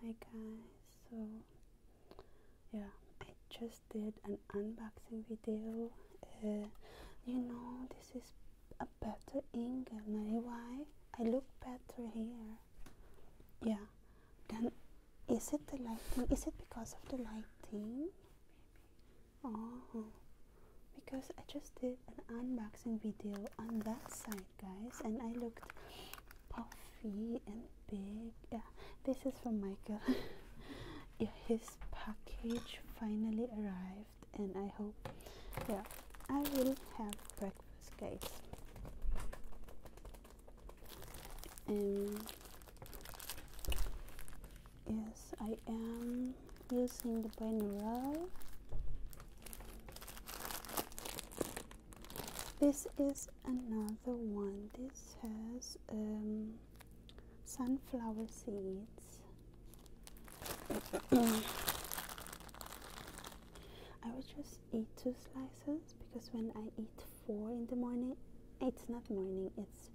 Hi guys, so yeah, I just did an unboxing video. Uh, you know, this is a better ink, Why? I look better here. Yeah, then is it the lighting? Is it because of the lighting? Oh, because I just did an unboxing video on that side, guys, and I looked puffy and big. Yeah, this is from Michael. yeah, his package finally arrived, and I hope, yeah, I will have breakfast, guys. Um, Yes, I am using the binaural. This is another one. This has um, sunflower seeds. I will just eat two slices because when I eat four in the morning, it's not morning, it's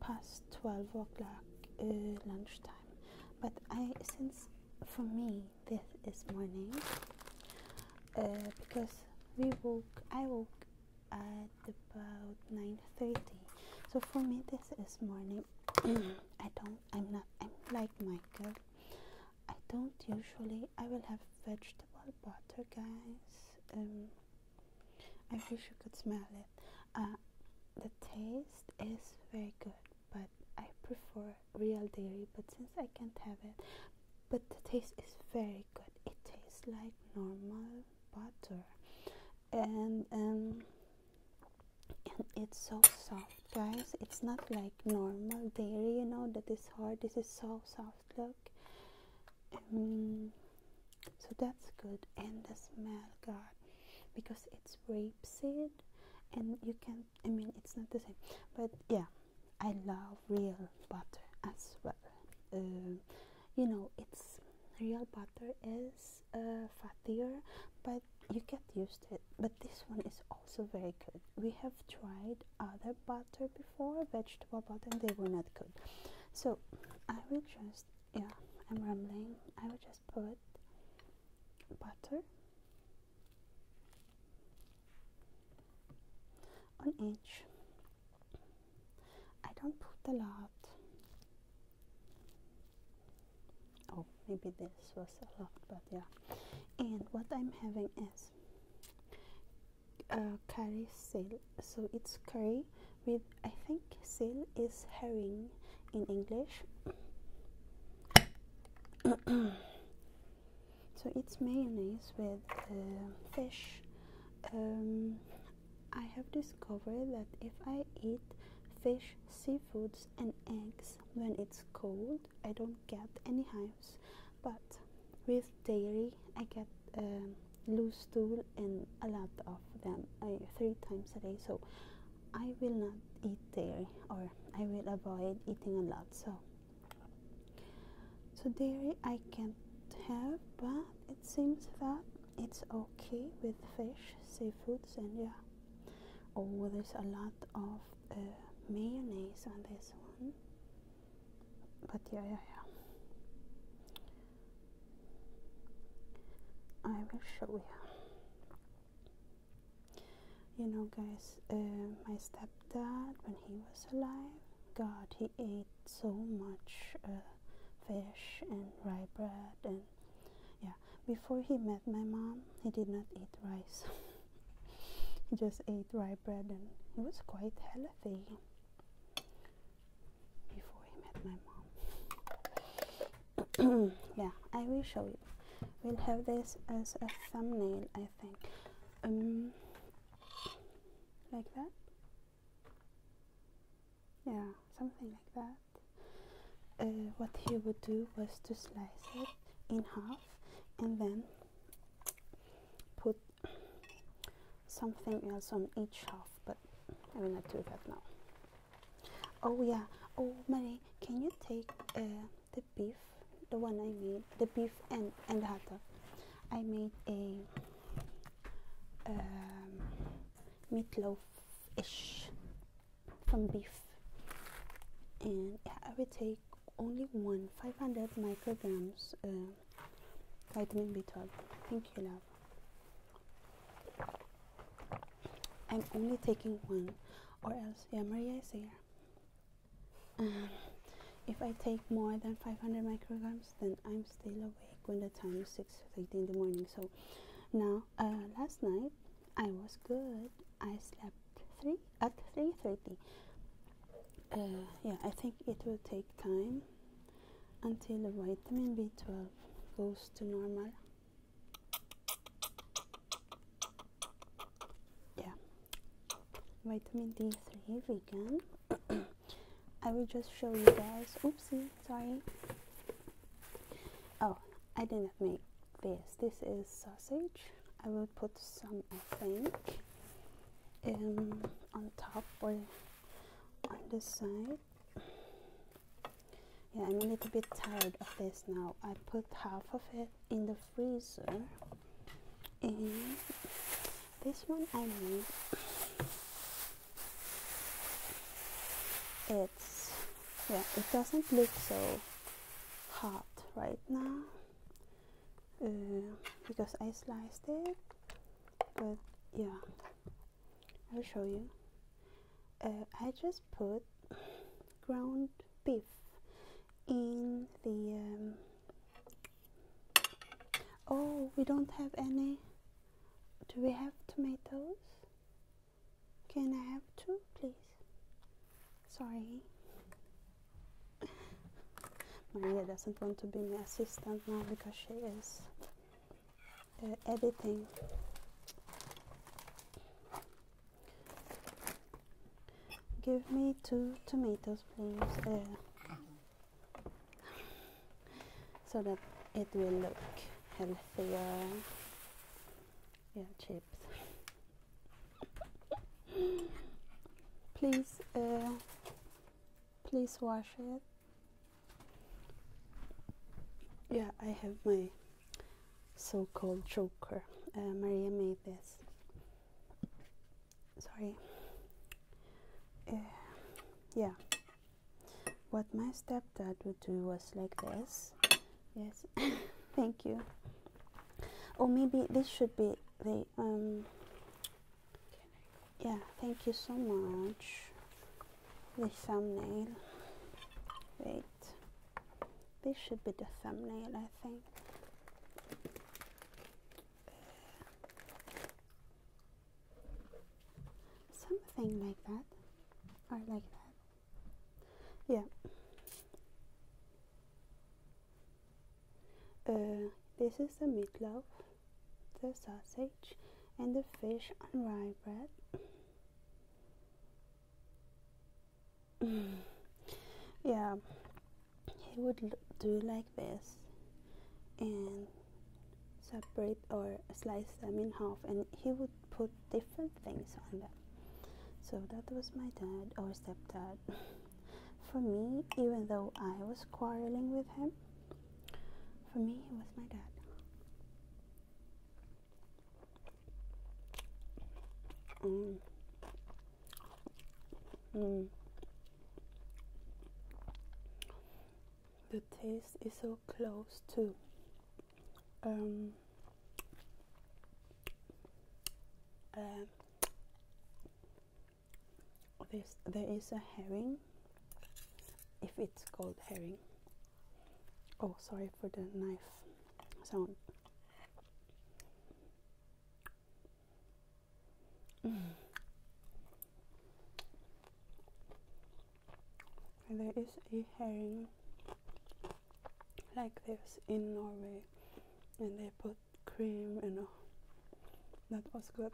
past 12 o'clock uh, lunchtime but i since for me this is morning uh, because we woke i woke at about 9.30 so for me this is morning i don't i'm not i'm like michael i don't usually i will have vegetable butter guys um, I wish you could smell it. Uh, the taste is very good, but I prefer real dairy. But since I can't have it, but the taste is very good. It tastes like normal butter, and um, and it's so soft, guys. It's not like normal dairy, you know, that is hard. This is so soft. Look. Um, so that's good and the smell god because it's rapeseed and you can i mean it's not the same but yeah i love real butter as well um, you know it's real butter is uh, fattier but you get used to it but this one is also very good we have tried other butter before vegetable butter they were not good so i will try yeah i'm rambling i would just put butter on each i don't put a lot oh maybe this was a lot but yeah and what i'm having is uh, curry sale. So it's curry with I think sale is herring in English. so it's mayonnaise with uh, fish. Um, I have discovered that if I eat fish, seafoods, and eggs when it's cold, I don't get any hives. But with dairy, I get um, loose stool and a lot of them uh, three times a day so i will not eat dairy or i will avoid eating a lot so so dairy i can't have but it seems that it's okay with fish seafoods and yeah oh there's a lot of uh, mayonnaise on this one but yeah, yeah, yeah. I will show you. You know, guys, uh, my stepdad, when he was alive, God, he ate so much uh, fish and rye bread, and yeah. Before he met my mom, he did not eat rice. he just ate rye bread, and he was quite healthy before he met my mom. yeah, I will show you. We'll have this as a thumbnail, I think. Um, like that? Yeah, something like that. Uh, what he would do was to slice it in half and then put something else on each half but I will not do that now oh yeah oh Marie can you take uh, the beef the one I made the beef and and the hot I made a um, meatloaf-ish from beef and I will take only one 500 micrograms uh, vitamin b12 thank you love i'm only taking one or else yeah maria is here um, if i take more than 500 micrograms then i'm still awake when the time is 6.30 in the morning so now uh, last night i was good i slept 3 at 3.30 uh, yeah, I think it will take time until the vitamin B12 goes to normal. Yeah, vitamin D3 vegan. I will just show you guys. Oopsie, sorry. Oh, I did not make this. This is sausage. I will put some, I think. Um, on top or on the side yeah I'm a little bit tired of this now I put half of it in the freezer and this one I made it's yeah it doesn't look so hot right now uh, because I sliced it but yeah I'll show you uh, I just put ground beef in the um, oh we don't have any do we have tomatoes can I have two please sorry Maria doesn't want to be my assistant now because she is uh, editing. Give me two tomatoes, please, uh, so that it will look healthier. Yeah, chips. please. Uh, please wash it yeah i have my so-called Joker. Uh, maria made this sorry uh, yeah what my stepdad would do was like this yes thank you or maybe this should be the um yeah thank you so much the thumbnail wait this should be the thumbnail i think something like that or like that yeah uh, this is the meatloaf, the sausage, and the fish on rye bread. yeah, he would do like this and separate or slice them in half, and he would put different things on them. So that was my dad or stepdad. For me, even though I was quarreling with him, for me, it was my dad. Mm. Mm. The taste is so close to um, um, there's, a herring, if it's called herring. Oh, sorry for the knife sound. There is a herring like this in Norway, and they put cream and oh, that was good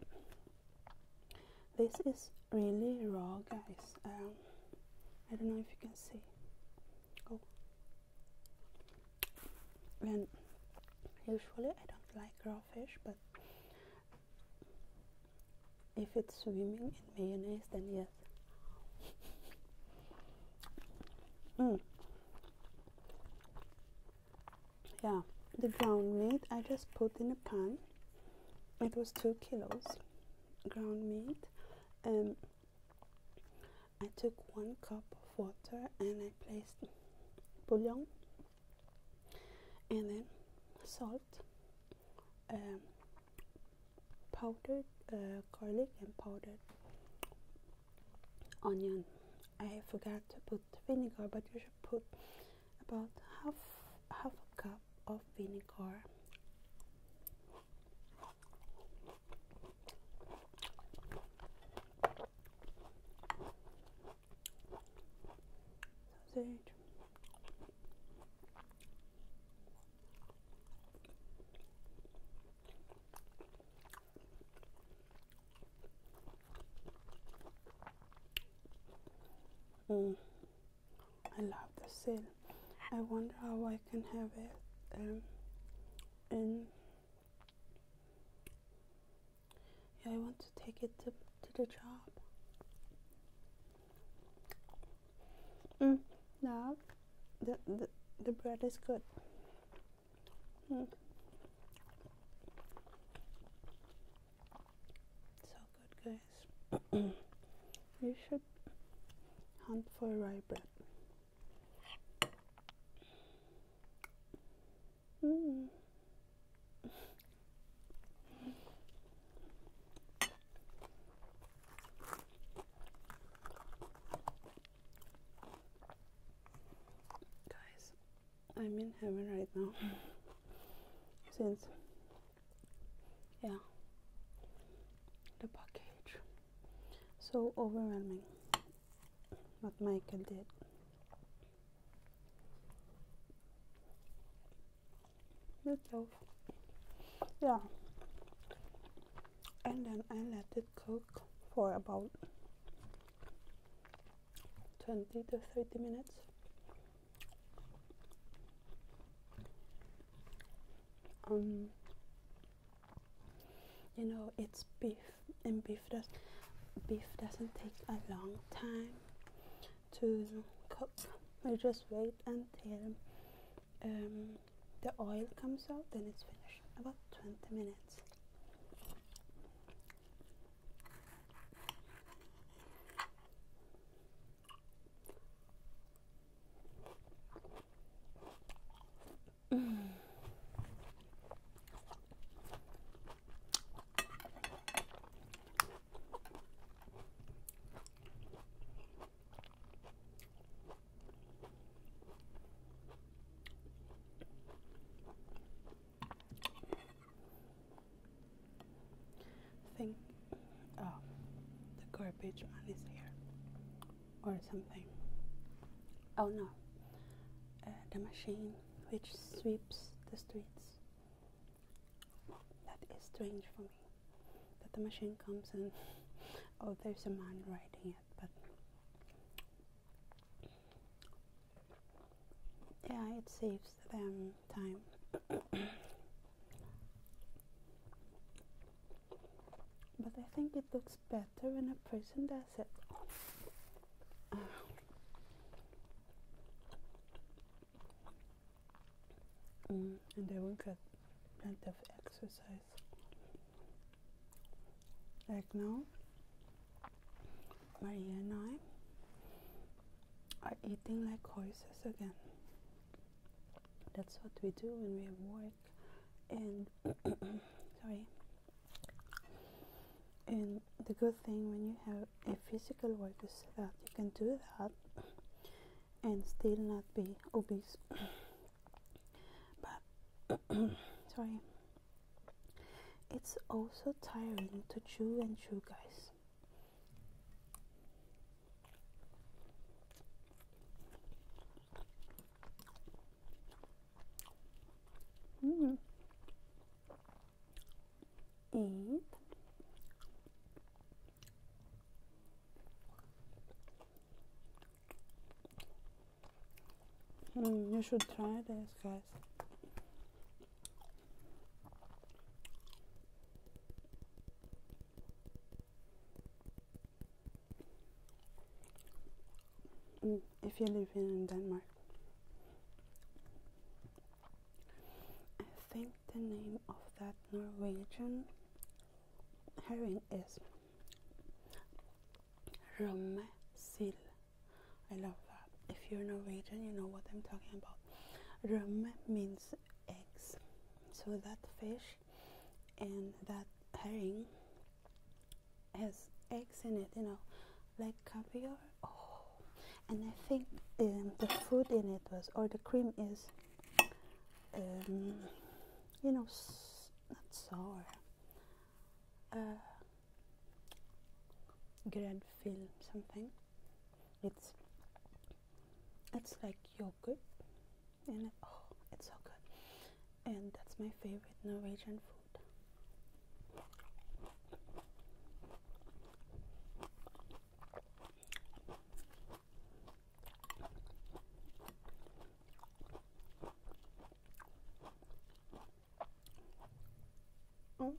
this is really raw guys um, I don't know if you can see oh and usually I don't like raw fish but if it's swimming in mayonnaise then yes mm yeah the ground meat i just put in a pan it was two kilos ground meat and um, i took one cup of water and i placed bouillon and then salt um, powdered uh, garlic and powdered onion. I forgot to put vinegar, but you should put about half half a cup of vinegar. Sausage. Mm. I love the seal. I wonder how I can have it um, in. Yeah, I want to take it to, to the job. Mm, now the, the, the bread is good. So good, guys. you should hunt for rye bread. Mm. Guys, I'm in heaven right now. Since, yeah, the package. So overwhelming what Michael did. Good job. Yeah. And then I let it cook for about 20 to 30 minutes um you know it's beef and beef does beef doesn't take a long time to cook We just wait until um, the oil comes out, then it's finished. About 20 minutes think oh the garbage man is here or something oh no uh, the machine which sweeps the streets that is strange for me that the machine comes and oh there's a man riding it but yeah, it saves them time. but I think it looks better when a person does it. Mm, and they will get plenty of exercise like now Maria and I are eating like horses again. That's what we do when we have work and sorry. And the good thing when you have a physical work is that you can do that and still not be obese. But sorry. It's also tiring to chew and chew, guys. Mm. Eat you should try this, guys. Mm, if you live in Denmark, I think the name of that Norwegian herring is Römsil. I love that. If you're Norwegian, you know what I'm talking about. Röm means eggs. So that fish and that herring has eggs in it, you know, like caviar. Oh, and I think um, the food in it was, or the cream is, um, you know, not sour uh, grad film something it's it's like yogurt and oh it's so good and that's my favorite Norwegian food Mm.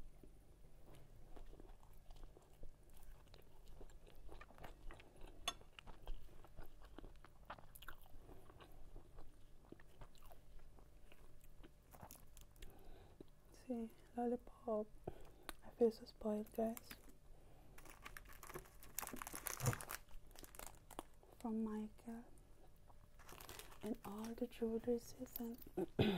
See, lollipop. I feel so spoiled, guys from Michael and all the jewelries and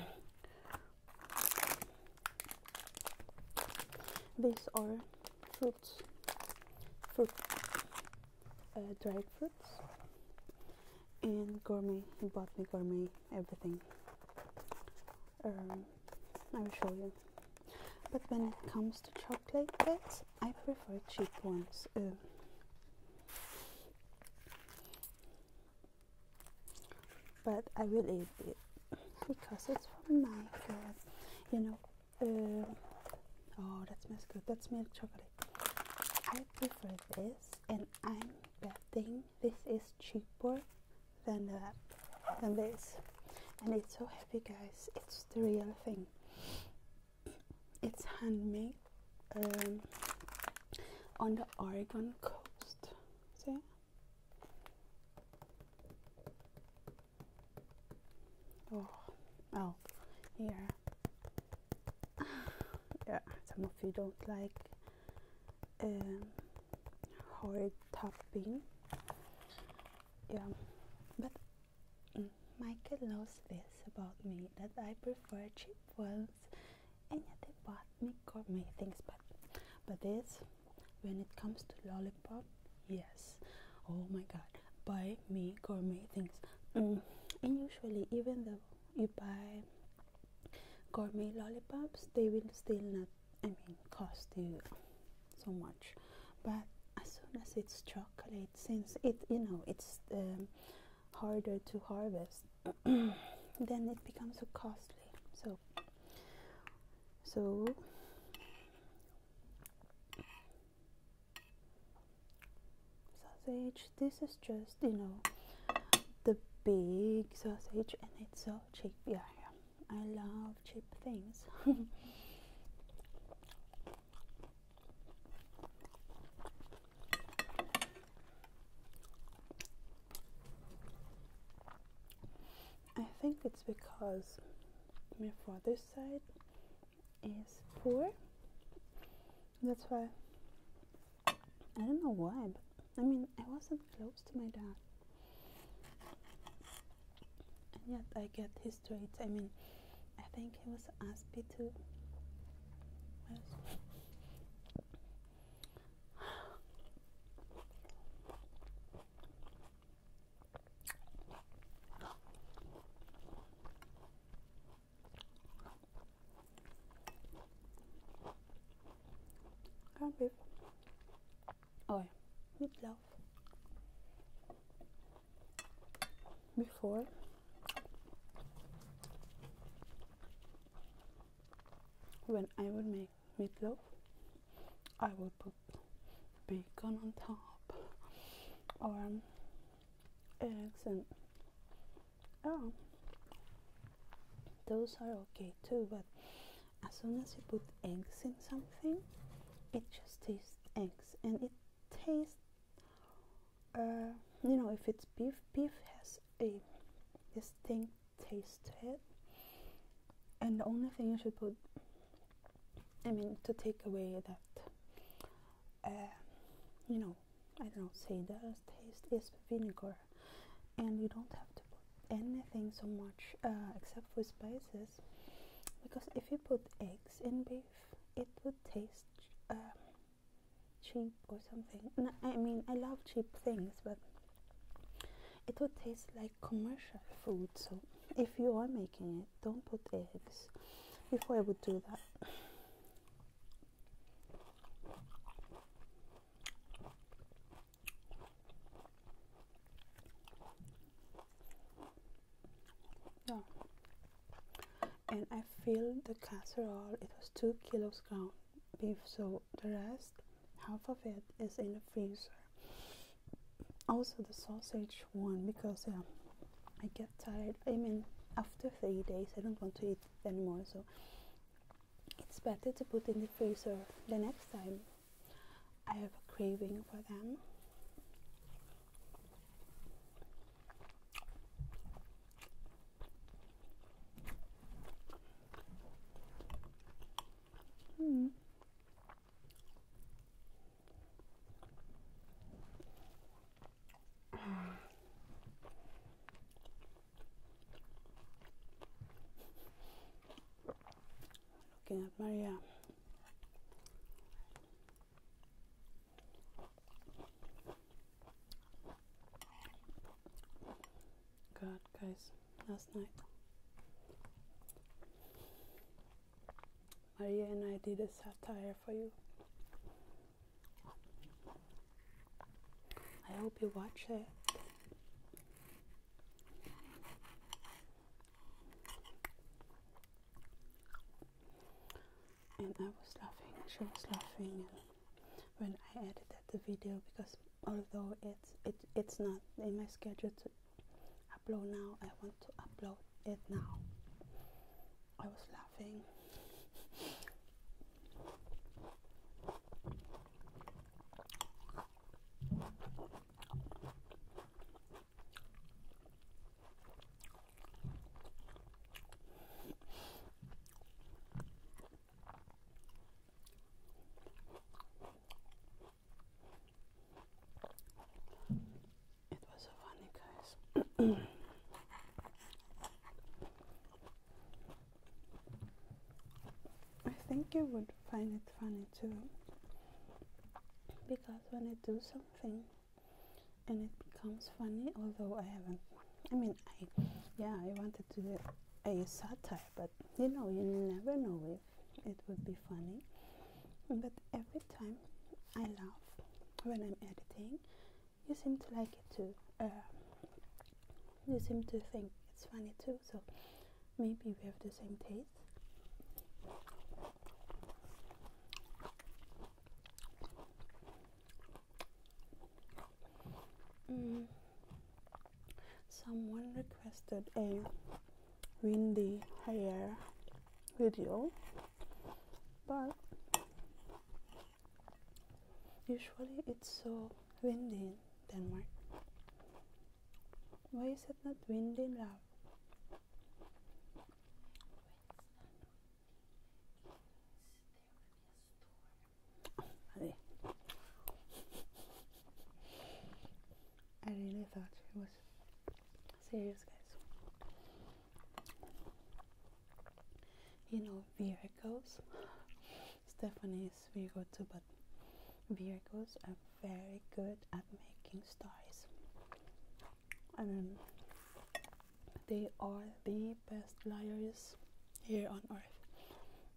these are fruits fruit uh, dried fruits and gourmet he bought me gourmet everything um, I will show you but when it comes to chocolate bits I prefer cheap ones um. but I will eat it because it's from my god you know um. oh that smells good that smells chocolate I prefer this and I'm betting this is cheaper than that than this and it's so heavy guys it's the real thing it's handmade um, on the Oregon coast. See? Oh, oh, yeah. yeah, some of you don't like um, hard topping. Yeah, but Michael knows this about me that I prefer cheap ones and yet they bought me gourmet things but but this when it comes to lollipop yes oh my god buy me gourmet things mm, and usually even though you buy gourmet lollipops they will still not I mean cost you so much but as soon as it's chocolate since it you know it's um, harder to harvest then it becomes so costly so so sausage this is just you know the big sausage and it's so cheap yeah, yeah. I love cheap things. I think it's because my father's side is poor. That's why I don't know why, but I mean, I wasn't close to my dad and yet I get his traits. I mean, I think he was Aspie too. Can't or meatloaf before when I would make meatloaf I would put bacon on top or eggs and oh those are okay too but as soon as you put eggs in something it just tastes eggs and it tastes uh, you know if it's beef beef has a distinct taste to it and the only thing you should put i mean to take away that uh, you know i don't know say that taste is vinegar and you don't have to put anything so much uh, except for spices because if you put eggs in beef, it would taste um, cheap or something. I mean, I love cheap things, but it would taste like commercial food. So, if you are making it, don't put eggs. Before I would do that yeah and I filled the casserole it was two kilos ground beef so the rest half of it is in the freezer also the sausage one because um, I get tired I mean after three days I don't want to eat anymore so it's better to put in the freezer the next time I have a craving for them. Hmm. Looking at Maria. God, guys, last night. Maria and I did a satire for you. I hope you watch it and I was laughing, she was laughing when I edited the video because although it's it, it's not in my schedule to upload now, I want to upload it now. I was laughing. It was so funny, guys. I think you would find it funny too, because when I do something and it becomes funny although I haven't I mean I yeah I wanted to do a satire but you know you never know if it would be funny but every time I laugh when I'm editing you seem to like it too uh, you seem to think it's funny too so maybe we have the same taste mm. someone requested a windy hair video but usually it's so windy in Denmark why is it not windy, love? I really thought it was serious, guys. You know, it goes. Stephanie's Virgo too, but Virgos are very good at making stories. I mean, they are the best liars here on earth.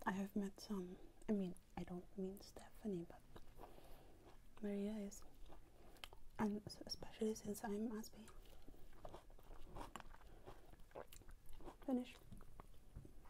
I have met some, I mean, I don't mean Stephanie, but Maria is, and especially since I'm Aspie. Finish.